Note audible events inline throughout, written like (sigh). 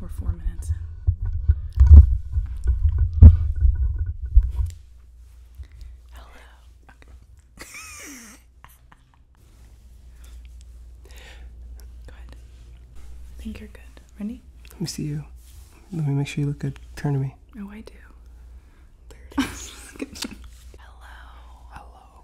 We're four minutes in. Hello. (laughs) Go ahead. I think you're good. Ready? Let me see you. Let me make sure you look good. Turn to me. Oh, I do. (laughs) Hello. Hello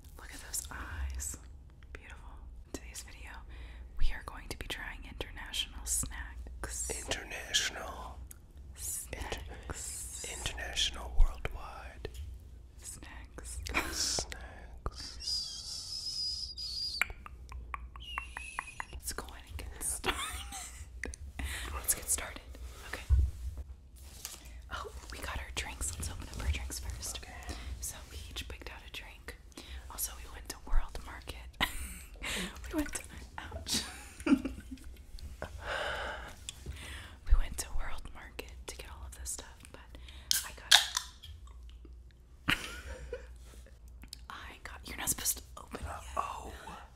Look at those eyes. Beautiful. In today's video, we are going to be trying international snacks. International. Snacks. international worldwide. Snacks. Snacks. Let's go ahead and get started. (laughs) Let's get started. Okay. Oh, we got our drinks. Let's open up our drinks first. So we each picked out a drink. Also, we went to World Market. (laughs) we went to ouch. (laughs) we went to World Market to get all of this stuff, but I got (laughs) I got you're not supposed to open it. Uh, oh.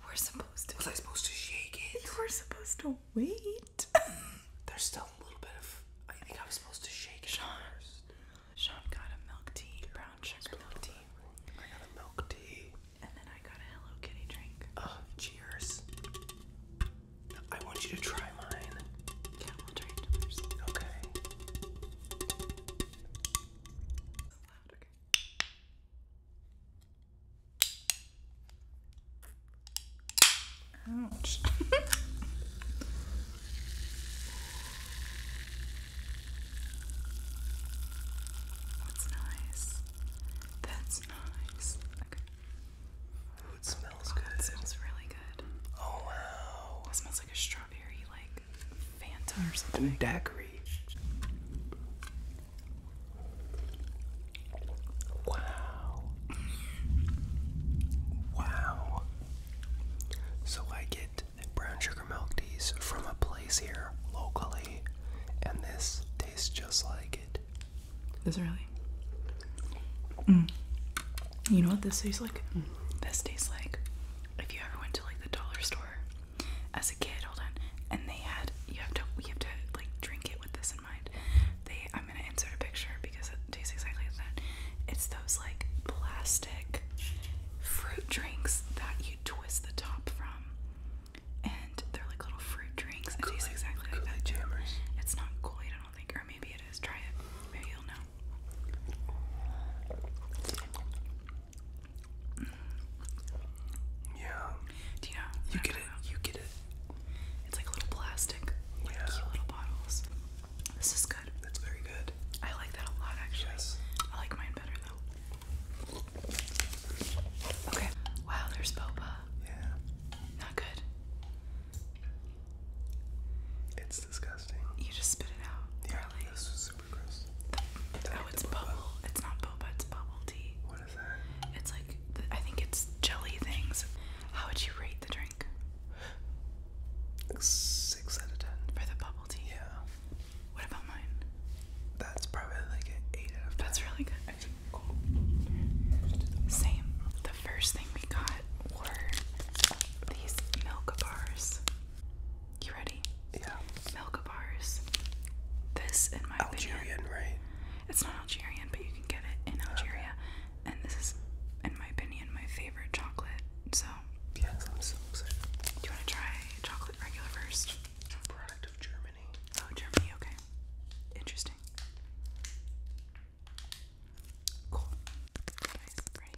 We're supposed to. Was I supposed to shake it? You were supposed to wait. (laughs) There's still a little bit of. I think I was supposed to shake it Sean. Sean got a milk tea, brown sugar milk tea. I got a milk tea. And then I got a Hello Kitty drink. cheers. I want you to try mine. Yeah, we Okay. So loud, okay. Ouch. (laughs) That's nice. That's nice. it smells oh, good. It smells really good. Oh wow. It smells like a strawberry like Fanta or something. And Wow. Wow. So I get brown sugar milk teas from a place here locally, and this tastes just like it. really? Mm. You know what this tastes like? Mm. This tastes like if you ever went to like the dollar store as a kid, hold on, and they had you have to you have to like drink it with this mind. I'm gonna insert a picture because it tastes exactly like that. It's those like plastic fruit drinks that you twist the top from. And they're like little fruit drinks. It tastes exactly like that. Jammers. It's not Kool-Aid, I don't think, or maybe it is. Try it. Maybe you'll know. Yeah you get it. You get it. It's like little plastic, yeah. cute little bottles. This is good. That's very good. I like that a lot, actually. I like mine better though. Okay. Wow, there's boba. Yeah. Not good. It's disgusting. You just spit it out. Yeah, really. This is super gross. oh, it's bubble. It's not boba. It's bubble tea. It's like I think it's jelly things. How would you rate the drink? Six out of ten. For the bubble tea. Yeah. What about mine? That's probably like an eight out of ten. That's really good. Same. The first thing we got were these milk bars. You ready? Yeah. Milk bars. This, in my Algerian, right? It's not Algerian, but you can get it in Algeria. And this is, in my opinion, my favorite chocolate. So yes, I'm so excited. Do you want to try chocolate regular first? product of Germany. Oh, Germany. Okay. Interesting. Cool. Nice. Ready?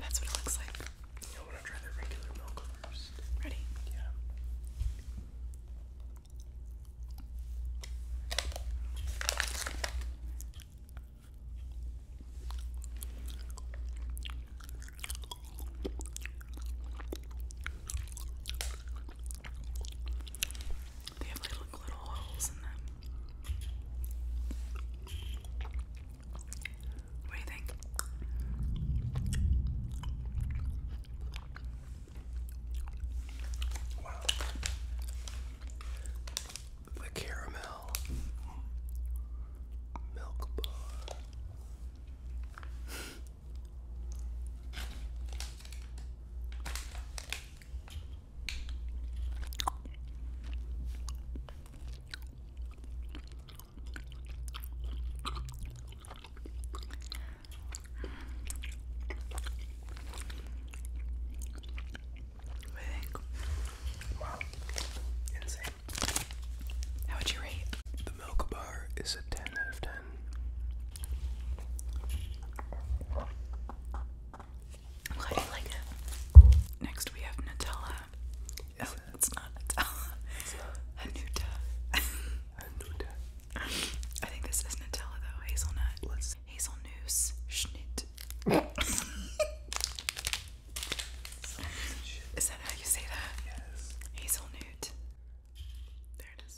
That's what it looks like. You know what? I'll try the regular milk first. Ready? Yeah. They have little, little holes in them. What do you think? Wow. The caramel milk bar. I think. Wow. Insane. How would you rate? The milk bar is a 10 out of 10. How do you like it? Next we have Nutella. Is oh, it's not Nutella. It's (laughs) I think this is Nutella though. Hazelnut. Let's. is that how you say that? Yes. Hazelnut. There it is.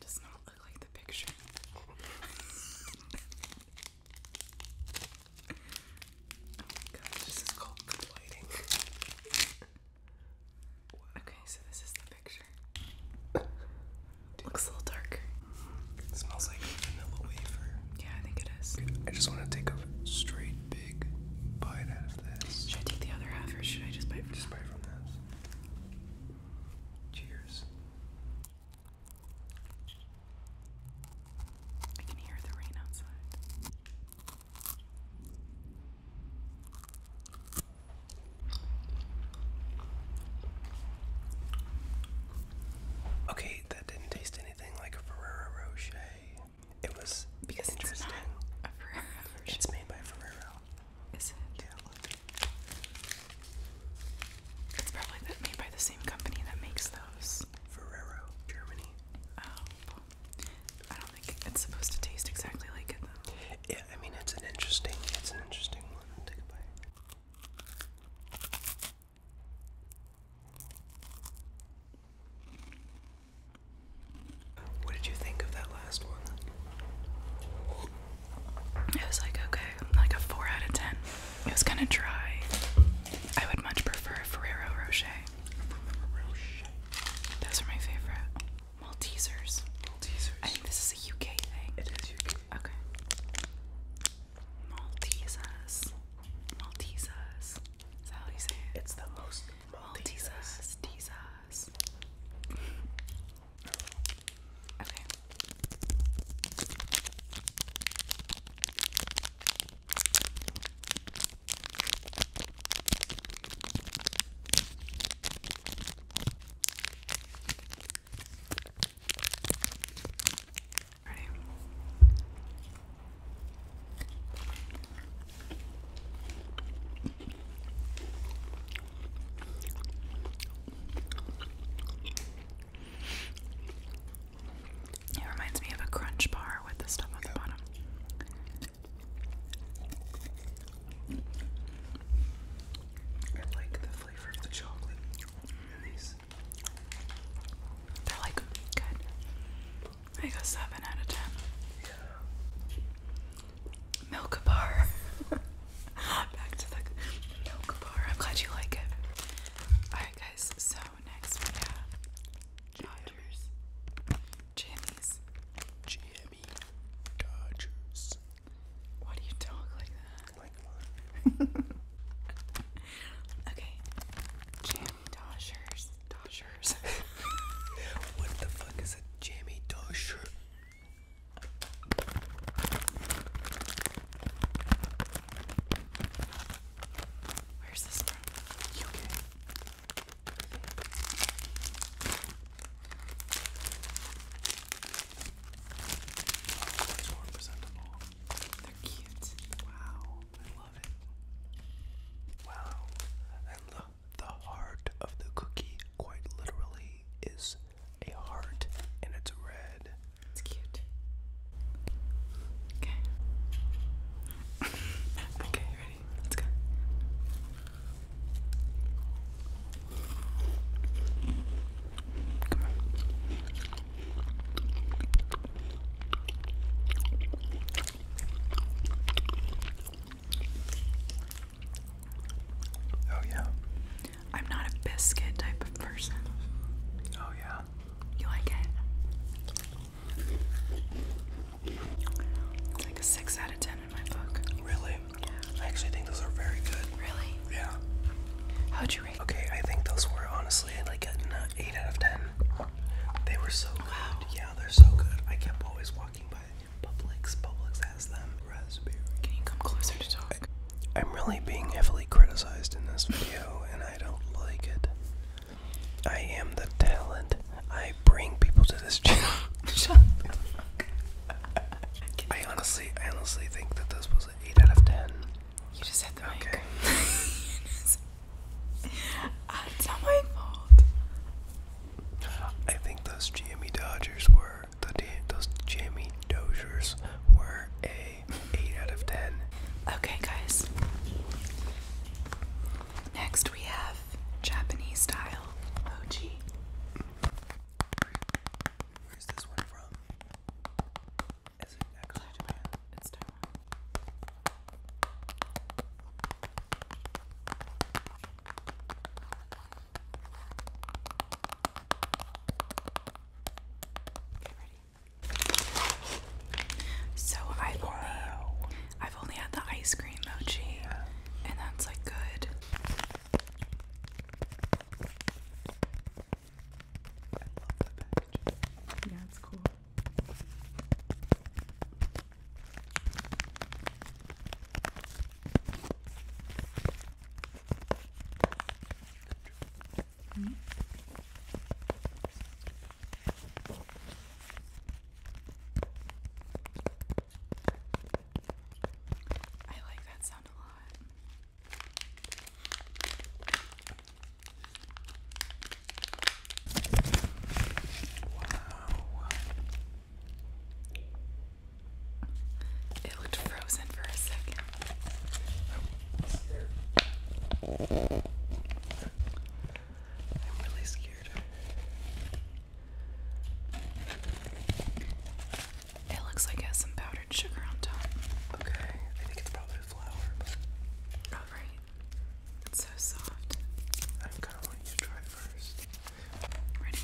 does not look like the picture. oh my gosh, this is called good okay, so this is the picture. (laughs) Looks a little dark. It smells like vanilla wafer. Yeah, I think it is. I just want to take a straight big bite out of this. Should I take the other half or should I just bite Just bite from this. Cheers. I can hear the rain outside. Okay, that didn't taste anything like a Ferrero Rocher. It was because interesting. It's, not a Ferrero it's made by Ferrero. Is it? Yeah, It's probably made by the same company that makes those. Ferrero, Germany. Oh, I don't think it's supposed to taste exactly like it Yeah, I mean it's an interesting, it's an interesting one. Take a bite. What did you think of that last one? It was like okay, like a 4 out of 10. It was kind of dry. I would much prefer a Ferrero Rocher. Those are my favorite. Maltesers. Maltesers. I this is a UK thing. It is UK. Okay. Maltesers. Maltesers. Is how you say it? It's the most Maltesers. okay. It reminds me of a crunch bar with the stuff on the bottom. I like the they're like good. I go seven out of ten. Yeah. Milk bar. (laughs) Back to the milk bar. I'm glad you like it. Alright guys, so next we have Dodgers. Jammies. Jim me Dodgers. Why do you talk like that? (laughs) okay. Jammy Dodgers. Dodgers. (laughs) what the fuck is a Jammy Dodger? Where's this from? UK. It's more presentable. They're cute. Wow, I love it. Wow, and the the heart of the cookie, quite literally, is a heart, and it's red. It's cute. Okay. (laughs) okay, ready? Let's go. Oh, yeah. I'm not a biscuit type of person. Oh, yeah. You like it? like a 6 out of 10. Really? Yeah. I think those are very good. How'd you read? Okay, I think those were honestly like an eight out of ten. They were so loud. Yeah, they're so good. I kept always walking by Publix. Publix has them. Raspberry. Can you come closer to talk? I, am really being heavily criticized in this video, and I don't like it. I am the talent. I bring people to this (laughs) channel. Shut I honestly, honestly think that this was an eight out of ten. You just hit the mic. (laughs) Ah, it's not my fault. I think those Jimmy Dodgers were the those Jimmy Dodgers were a eight out of ten. Okay, guys. Next we have Japanese style mochi. Where's this one from? Is it actually It's Taiwan. So I've only, had the ice cream. Emoji, and that's like good. Yeah, it's cool. I like that sound a lot. Wow. It looked frozen for a second. Oh, I'm really scared. It looks like it has some powdered sugar on top. Okay, I think it's probably flour. Oh, right. It's so soft. I kind of want you to try it first. Ready?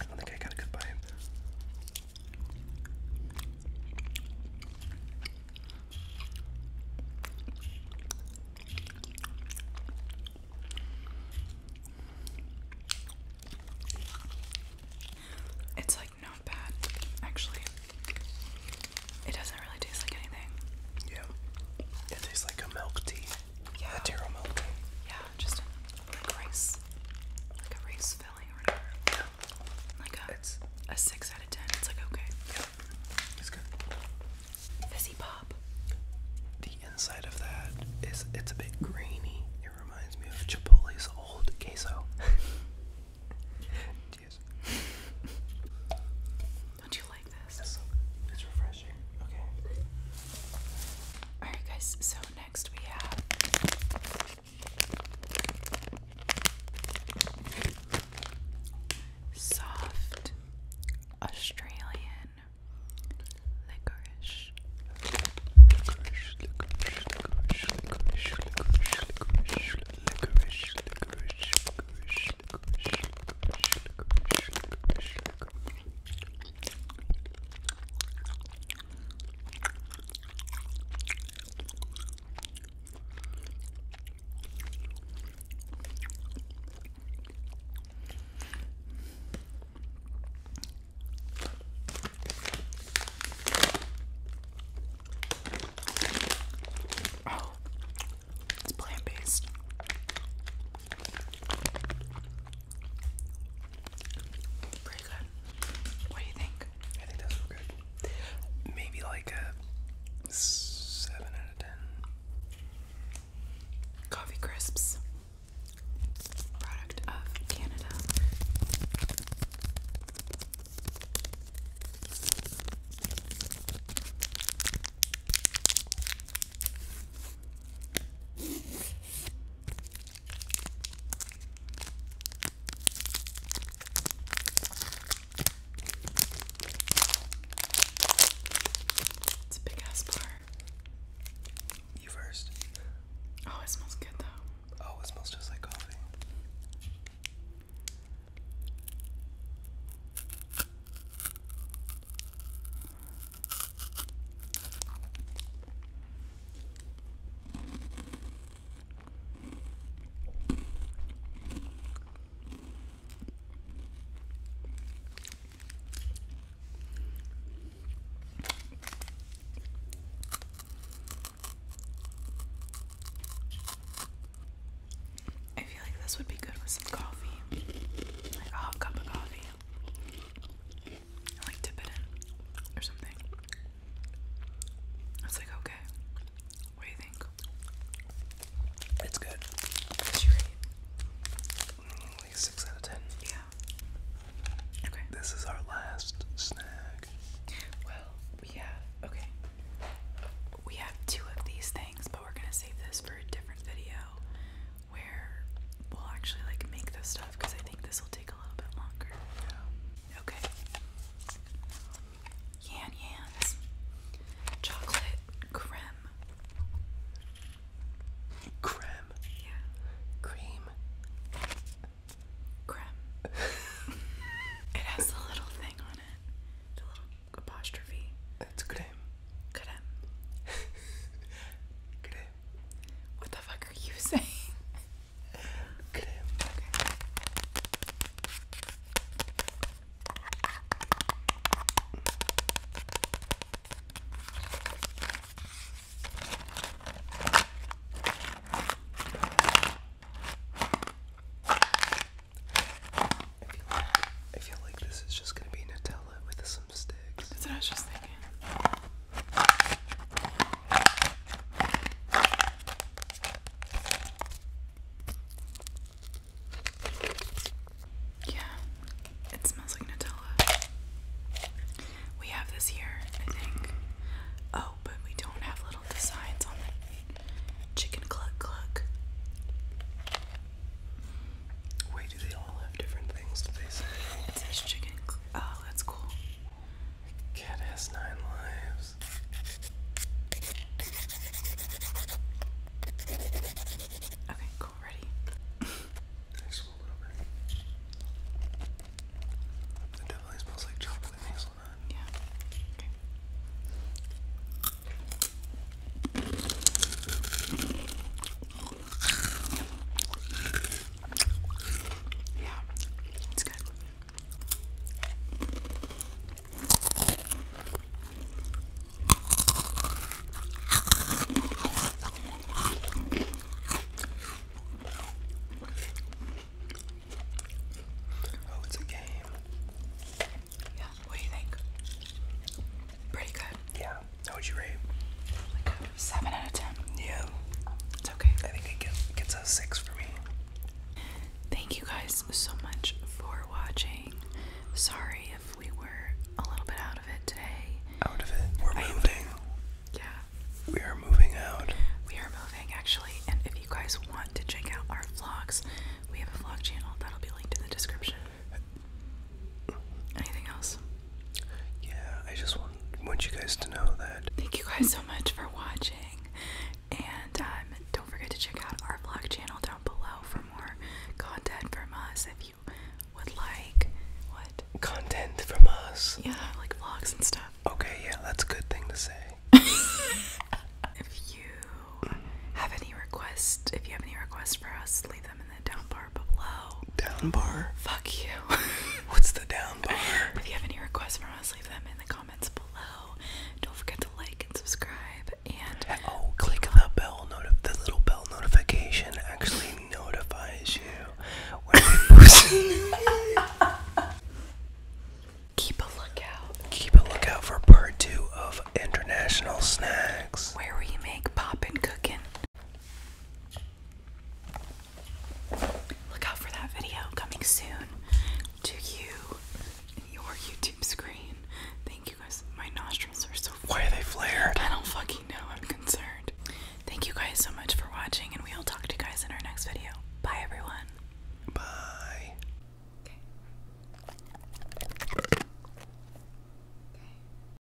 I don't think I got a good bite. It's like not bad, actually. It doesn't really taste like anything. Yeah. It tastes like a milk tea. Yeah. A taro milk tea. Yeah, just a, like rice. Like a rice filling or whatever like a it's a six out of ten. It's like okay. Yeah, it's good. Fizzy pop. The inside of that is it's a bit grainy. It reminds me of Chipotle's old queso. Cheers. (laughs) Don't you like this? it's refreshing. Okay. Alright guys, so next we have Soft Australian licorice it's plant based. Pretty good. What do you think? I think those good. Maybe like a seven out of ten. Coffee crisps, product of Canada. It's a big ass bar. You first. Oh, it smells good though. Oh, it smells just like coffee. I feel like this would be good with some coffee, like a hot cup of coffee like dip it in or something. It's like okay. What do you think? It's good. six out of ten. Yeah. Okay. This is our last snack. Well, we have okay. We have two of these things, but we're gonna save this for a different video where we'll actually like make this stuff because I think this will take a little bit longer. Yeah. Okay. Yan Yan's chocolate creme. Creme. Yeah. Cream. Creme. (laughs) it has the little thing on it. The little apostrophe. It's creme. Creme. (laughs) creme. What the fuck are you saying? I feel like this is just gonna be Nutella with some sticks. That's what I was just thinking. Yeah, it smells like Nutella. We have this here, I think. Oh, but we don't have little designs on the chicken cluck cluck. Wait, do they all have different things? Do they say? chicken. oh, that's cool. Cat has nine lives. Okay, cool, ready. Next one, little bit. It definitely smells like chocolate hazelnut. Yeah. Okay. Yeah, it's good. Oh, it's a game. Yeah, what do you think? Pretty good. Yeah. Yeah. How would you rate? seven out of ten. Yeah. It's okay. I think it gets, gets a six for me. Thank you guys so much for watching. Sorry if we were a little bit out of it today. Out of it. We're moving. yeah. We are moving out. We are moving actually, and if you guys want to check out our vlogs, we have a vlog channel that'll be linked in the description. Anything else? Yeah, I just want want you guys to know that. Thank you guys so much for watching, and um, don't forget to check out our vlog channel down below for more content from us. If you would like what content from us? Yeah, like vlogs and stuff. Okay, yeah, that's a good thing to say. (laughs) if you have any requests, if you have any requests for us, leave them in the down bar down bar? Fuck you. (laughs) What's the down bar? If you have any requests for us, leave them in the comments below. Don't forget to like and subscribe and oh, click the bell the little bell notification actually notifies you when we post. (laughs) Keep a lookout. Keep a lookout for part two of International Snacks. Where we make poppin' cookin'. Look out for that video coming soon to you your YouTube screen. Thank you guys. My nostrils are so Why are they flared? I don't fucking know. I'm concerned. Thank you guys so much for watching and we'll talk to you guys in our next video. Bye everyone. Bye. Okay. okay.